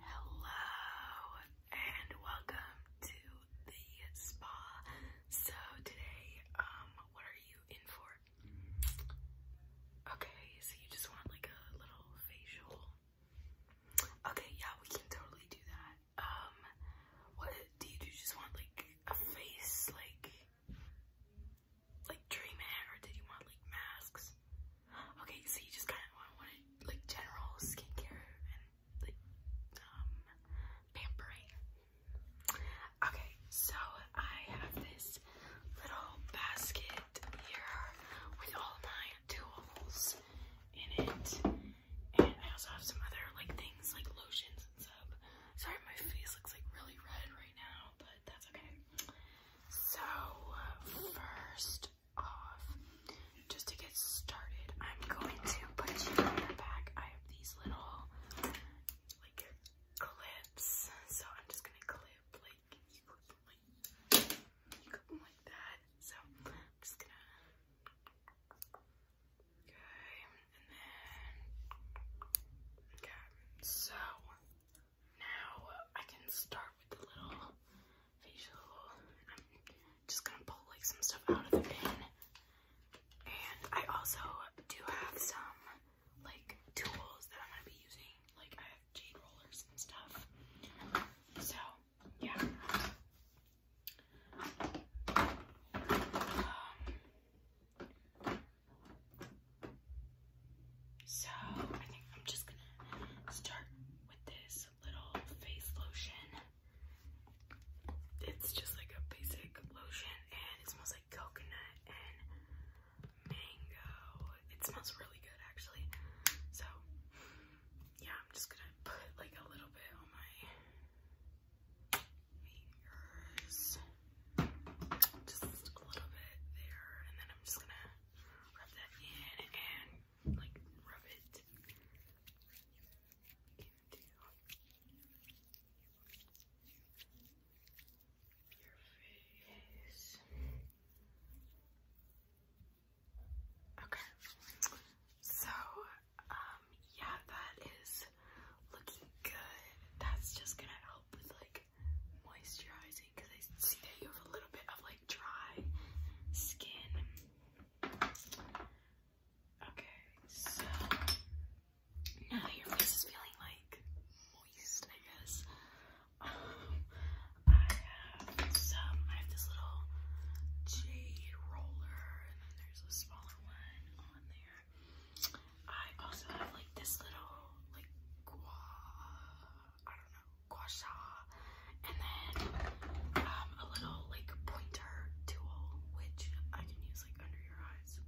Hello and welcome to the spa. So today, um, what are you in for? Okay, so you just want like a little facial. Okay, yeah, we can totally do that. Um, what do you just want like a face like like treatment or did you want like masks? Okay, so you just kind of want to like general skincare and like um, pampering. Okay, so I have this little basket here with all my tools in it, and I also have some other like things like lotions and stuff. Sorry, my face looks like really red right now, but that's okay. So, first, just to get started, I'm going to put you in your back. I have these little like clips, so I'm just gonna clip like you clip them like that. So just gonna okay, and then okay. So now I can start with the little facial. I'm um, just gonna pull like some stuff out of the bin. And I also do have some like tools that I'm gonna be using. Like I have jade rollers and stuff. So yeah. Um, so I think I'm just gonna start with this little face lotion. It's just like a basic lotion and it smells like coconut and mango. It smells really good actually. So yeah, I'm just gonna put like a little bit on my fingers. Just a little bit there, and then I'm just gonna rub that in and like rub it. You do your face. Okay. So, um, yeah, that is looking good. That's just gonna help with like moisturizing because I see that you have a little bit of like dry skin. Okay, so now your face is feeling like moist, I guess. Um, I have some, I have this little jade roller, and then there's a smaller one on there. I also have like this little, like, gua I don't know, gua sha, and then um, a little like pointer tool, which I can use like under your eyes.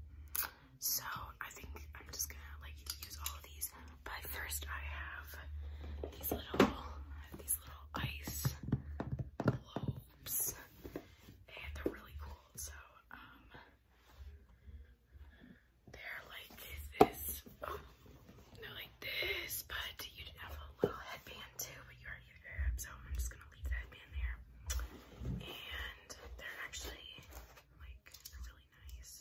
So I think I'm just gonna like use all of these. But first I have these little these little ice globes. And they're really cool. So um they're like this, um, they're like this, but you did have a little headband too, but you already have so I'm just gonna leave the headband there. And they're actually like really nice.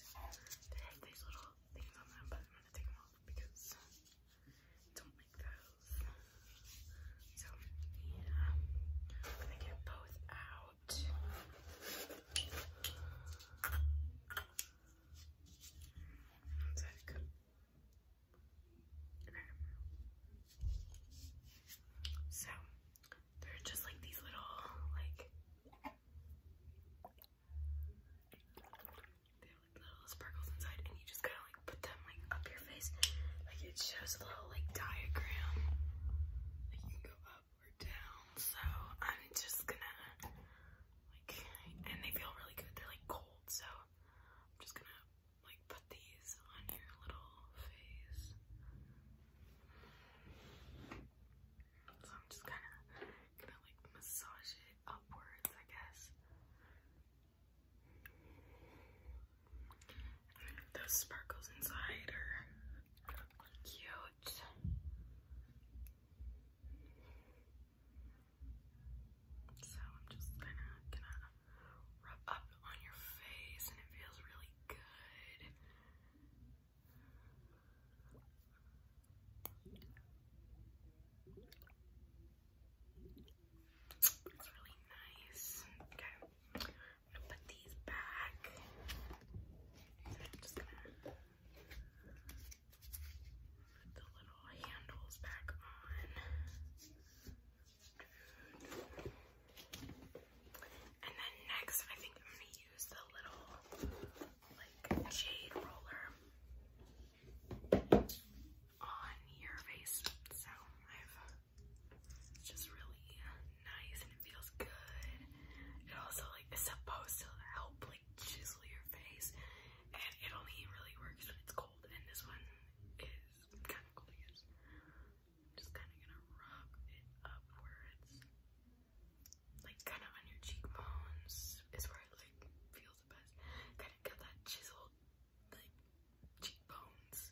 They have these little things on them, but I'm gonna take them off because don't like those. So I'm gonna get both out. One sec. So they're just like these little like they have like little sparkles inside and you just gotta like put them like up your face. Like it shows a little like diagram. Like you go up or down. So I'm just gonna like, and they feel really good. They're like cold, so I'm just gonna like put these on your little face. So I'm just kind of gonna like massage it upwards, I guess. those sparkles inside are cute. So I'm just kind of gonna rub up on your face and it feels really good. It's really nice. Okay, I'm gonna put these back. just gonna the little handles back on. And then next, I think I'm gonna use the little like jade roller on your face. So it's just really nice and it feels good. It also like is supposed to help chisel your face, and it only really works when it's cold. And this one is kind of cold, just kind of gonna rub it upwards, like kind of on your cheekbones is where it like feels the best. Kind of get that chiseled like cheekbones.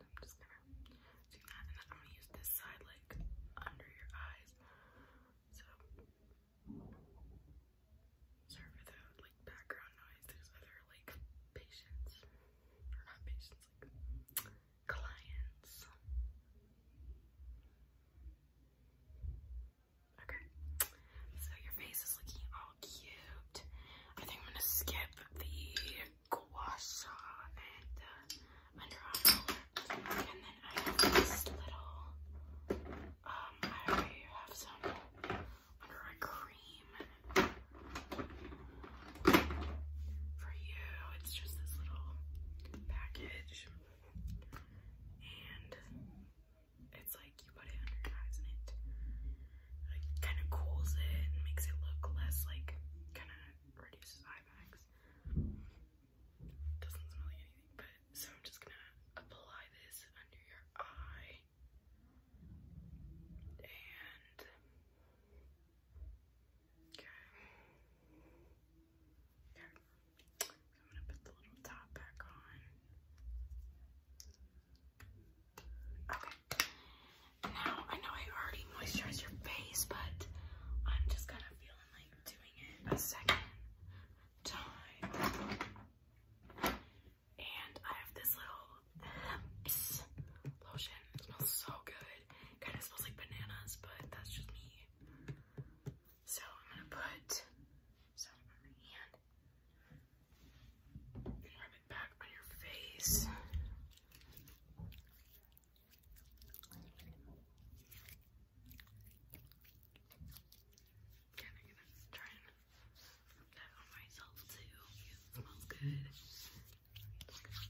I'm just gonna do that, and then I'm gonna use this side like under your eyes. So sorry for the like background noise. There's other like patients, or not patients, like clients. Okay, so your face is looking all cute. I think I'm gonna skip the guasha and uh, Under Armour. And then I have this little, um, I already have some Under Armour cream for you. It's just this little package. And it's like you put it under your eyes and it kind of cools it and makes it look less like kind of reduces eye bags. Doesn't smell like anything, but so I'm just gonna apply this under your eye and okay. okay. I'm gonna put the little top back on. Okay. now I know I already moisturized your face, but I'm just gonna feel like doing it a second time. And I have this little lotion. It smells so good. Kind of smells like bananas, but that's just me. So I'm gonna put some on my hand rub it back on your face. Kind to try that on myself too. smells good.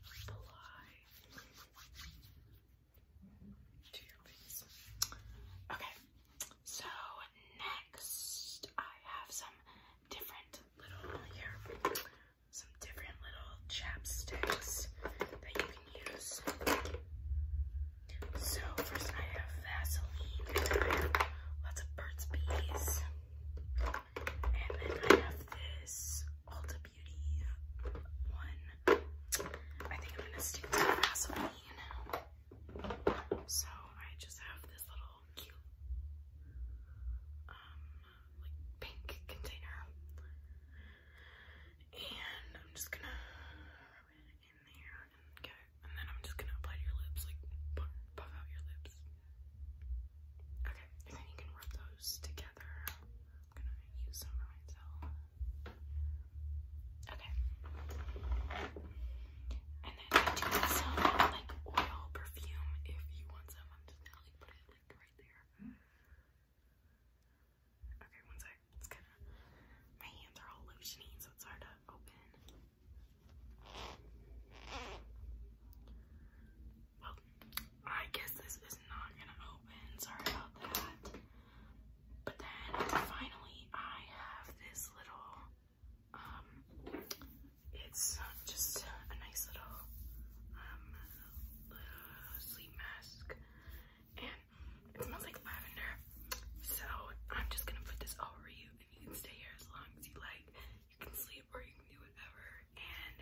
Apply to your face. Okay, so next I have some different little here, some different little chapsticks that you can use. So first I have Vaseline, and then I have lots of Burt's Bees, and then I have this Ulta Beauty one. I think I'm gonna stick to Vaseline. So I just have this little cute um, like pink container. And I'm just gonna rub it in there and And then I'm just gonna apply to your lips, like puff, out your lips. Okay, and then you can rub those together. I'm gonna use some for myself. Okay. And I do some like oil perfume if you want some. I'm just gonna put it like right there. Okay, one sec. my hands are all so it's hard to open. Well, I guess this is not gonna open. Sorry about that. But then finally, I have this little um, it's just a nice um, little sleep mask, and it smells like lavender. So I'm just gonna put this over you, and you can stay here as long as you like. You can sleep or you can do whatever, and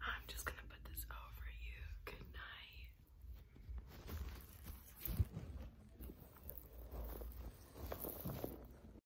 I'm just gonna put this over you. Good night.